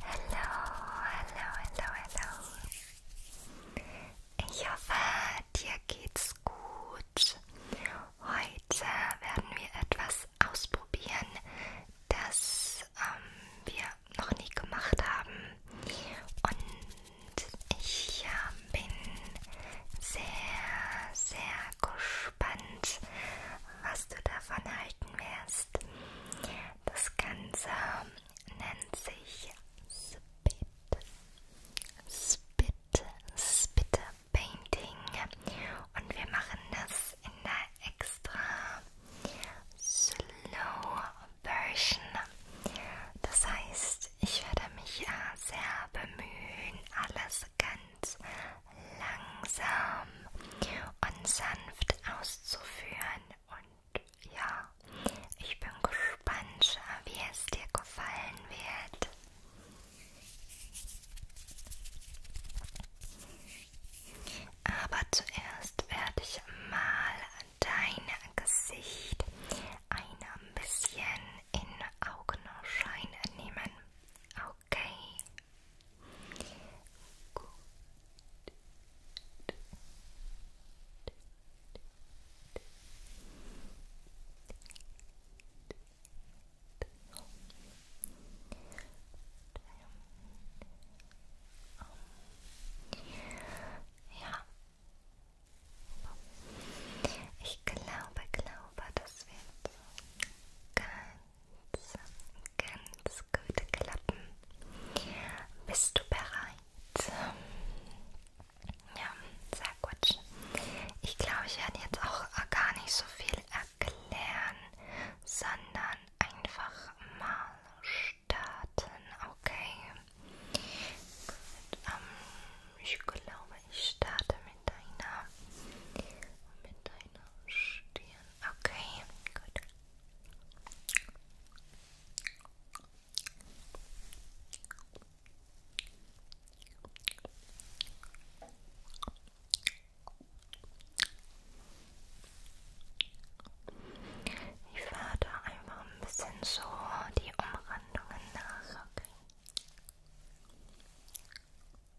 Hallo, hallo, hallo, hallo. Ich hoffe, dir geht's gut. Heute werden wir etwas ausprobieren, das ähm, wir noch nie gemacht haben. Und ich äh, bin sehr, sehr gespannt, was du davon halten wirst. Das Ganze nennt sich Spit, Spit, Spit Painting und wir machen das in der extra Slow Version. Das heißt, ich werde mich äh, sehr bemühen, alles ganz langsam und sanft auszuführen. Und ja, ich bin gespannt, wie es dir gefallen wird. Aber zuerst werde ich mal dein Gesicht ein bisschen in Augenschein nehmen. Okay. Gut. Ja. Ich glaube, glaube, das wird ganz ganz gut klappen. Bist du bereit? Ja, sehr gut. Ich glaube, ich werde jetzt auch gar nicht so viel erklären, sondern einfach mal starten, okay? Gut, ähm, ich glaube, ich starte mit deiner, mit deiner Stirn probieren. Okay, gut. Ich fahre da einfach ein bisschen so die Umrandungen nach, okay?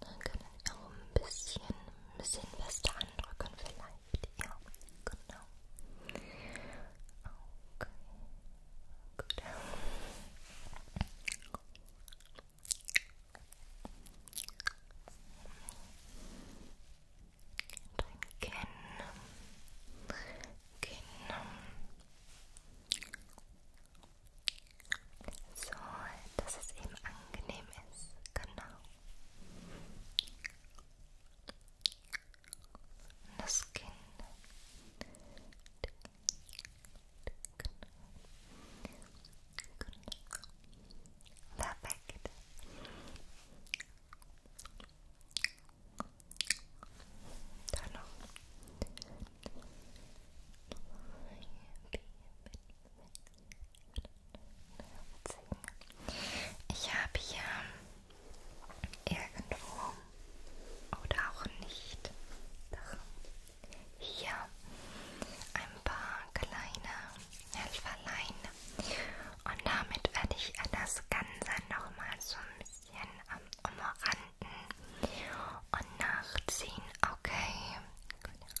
Dann können wir auch ein bisschen, ein bisschen fester andrücken vielleicht. Ja, genau. Okay. Gut. Dein Kinn. Kinn. So, dass es eben angenehm ist. Genau. Das Kinn. Perfekt. Dann noch. Mit, mit, mit. Ich habe hier irgendwo oder auch nicht doch hier ein paar kleine Helferlein und damit werde ich das Ganze nochmal so ein bisschen ähm, umranden und nachziehen. Okay, gut.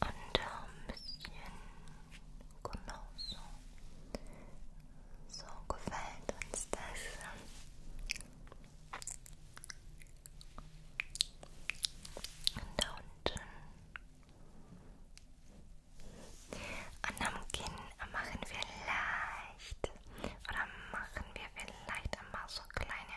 Und ein bisschen genau so. So gefällt uns das. Und da unten. Und am Kinn machen wir leicht. Oder machen wir vielleicht einmal so kleine.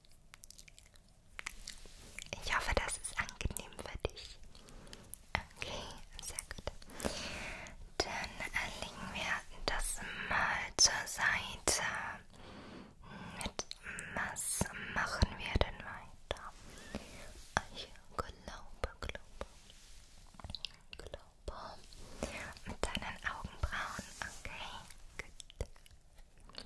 Ich hoffe, das ist angenehm für dich. Okay, sehr gut. Dann legen wir das mal zur Seite. Mit was machen wir denn weiter? Ich glaube, glaube, glaube. Mit deinen Augenbrauen, okay, gut.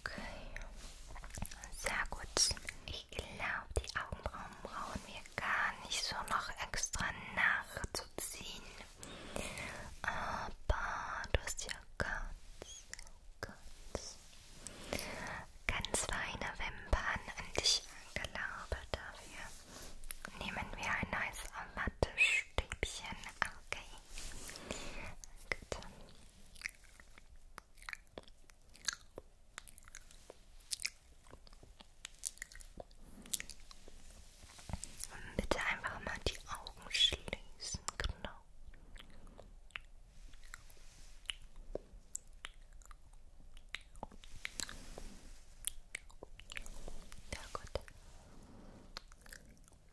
Okay. Sehr gut. Ich glaube, die Augenbrauen brauchen wir gar nicht so noch extra nachzuziehen. Aber du hast ja ganz, ganz, ganz feine Wimpern an dich angelabert dafür. Nehmen wir ein neues Mattestäbchen. Okay. Gut. Und bitte einfach mal die Augen schließen, genau. Ja gut.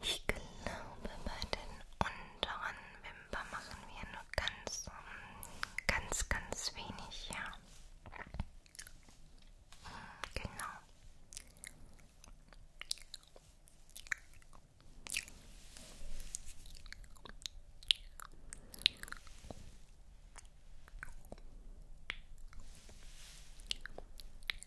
Ich glaube, bei den unteren Wimpern machen wir nur ganz, ganz, ganz wenig, ja. Genau.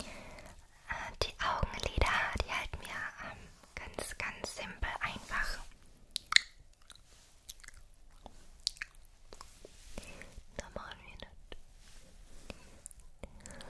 Äh, die Augenlider, die halten wir ähm, ganz, ganz simpel einfach. Da machen wir das. Genau.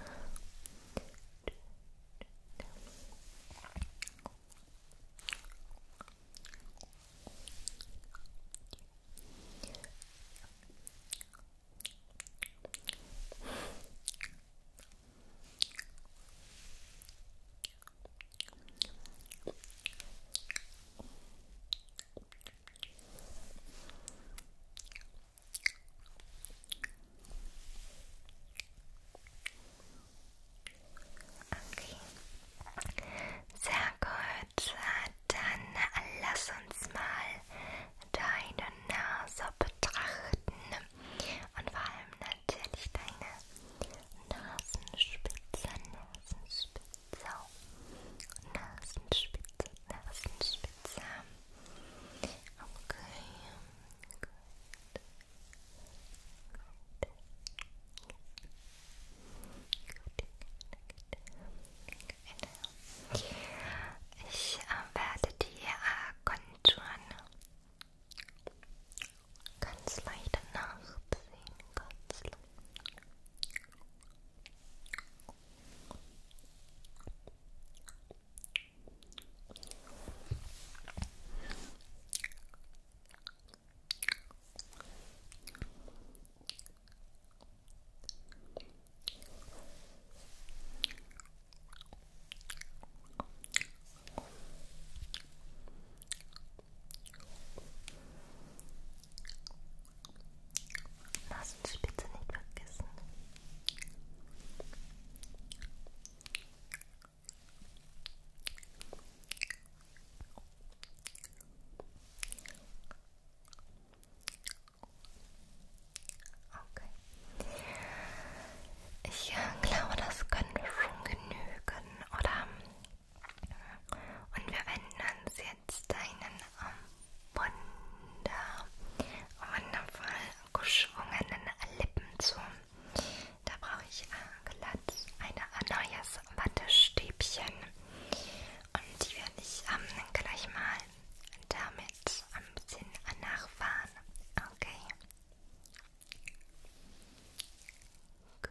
Okay. Sehr gut. Dann lass uns mal deine Nase betrachten und vor allem natürlich deine Nasenspitze, Nasenspitze, Nasenspitze, Nasenspitze. Okay, gut. Gut. Gut. Gut finde. Ich äh, werde die äh, Konturen ganz leicht nachziehen. Ganz leicht. Okay. Nasenspitze nicht vergessen. Okay. Ich äh, glaube, das können wir schon genügen, oder? Und wir wenden uns jetzt deinen ähm, wunder, wundervoll geschwungenen Lippen zu. Da brauche ich äh, glatt ein neues Wattestäbchen und die werde ich ähm, gleich mal damit ein bisschen nachfahren. Okay. okay.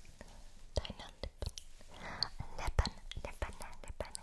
okay. Deine Lippen, Lippen, Lippen, Lippen.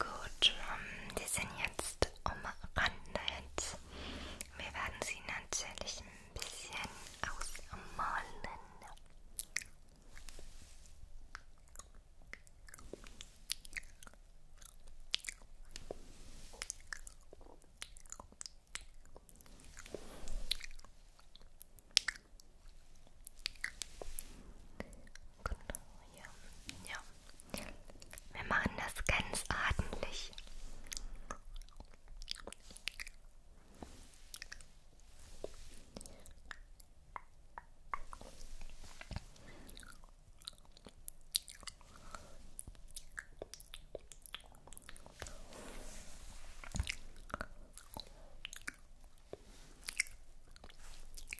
Gut, die ähm, sind jetzt umrandet. Wir werden sie natürlich ein bisschen ausmalen. Genau, ja. ja. Wir machen das ganz ordentlich.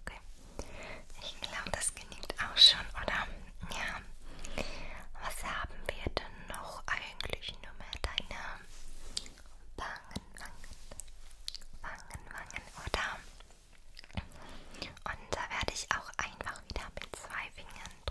Okay. Ich glaube, das genügt auch schon, oder? Ja. Was haben wir denn noch eigentlich? Nur mehr deine Wangen, Wangen, Wangen, Wangen, oder? Und da werde ich auch einfach wieder mit zwei Fingern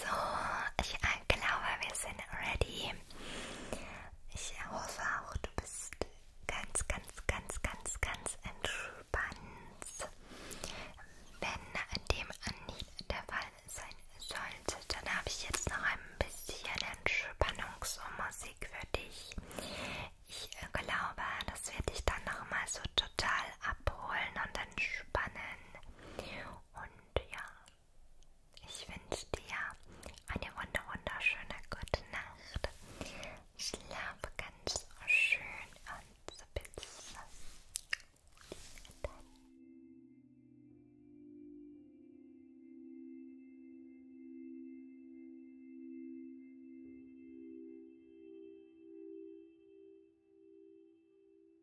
So, ich äh, glaube, wir sind ready. Ich hoffe auch, du bist ganz, ganz, ganz, ganz, ganz entspannt. Wenn dem nicht der Fall sein sollte, dann habe ich jetzt noch ein bisschen Entspannungsmusik für dich. Ich äh, glaube, das wird dich dann nochmal so total abholen und entspannen. Und ja, ich wünsche dir eine wunder wunderschöne gute Nacht. Schlafe ganz schön und bis dann.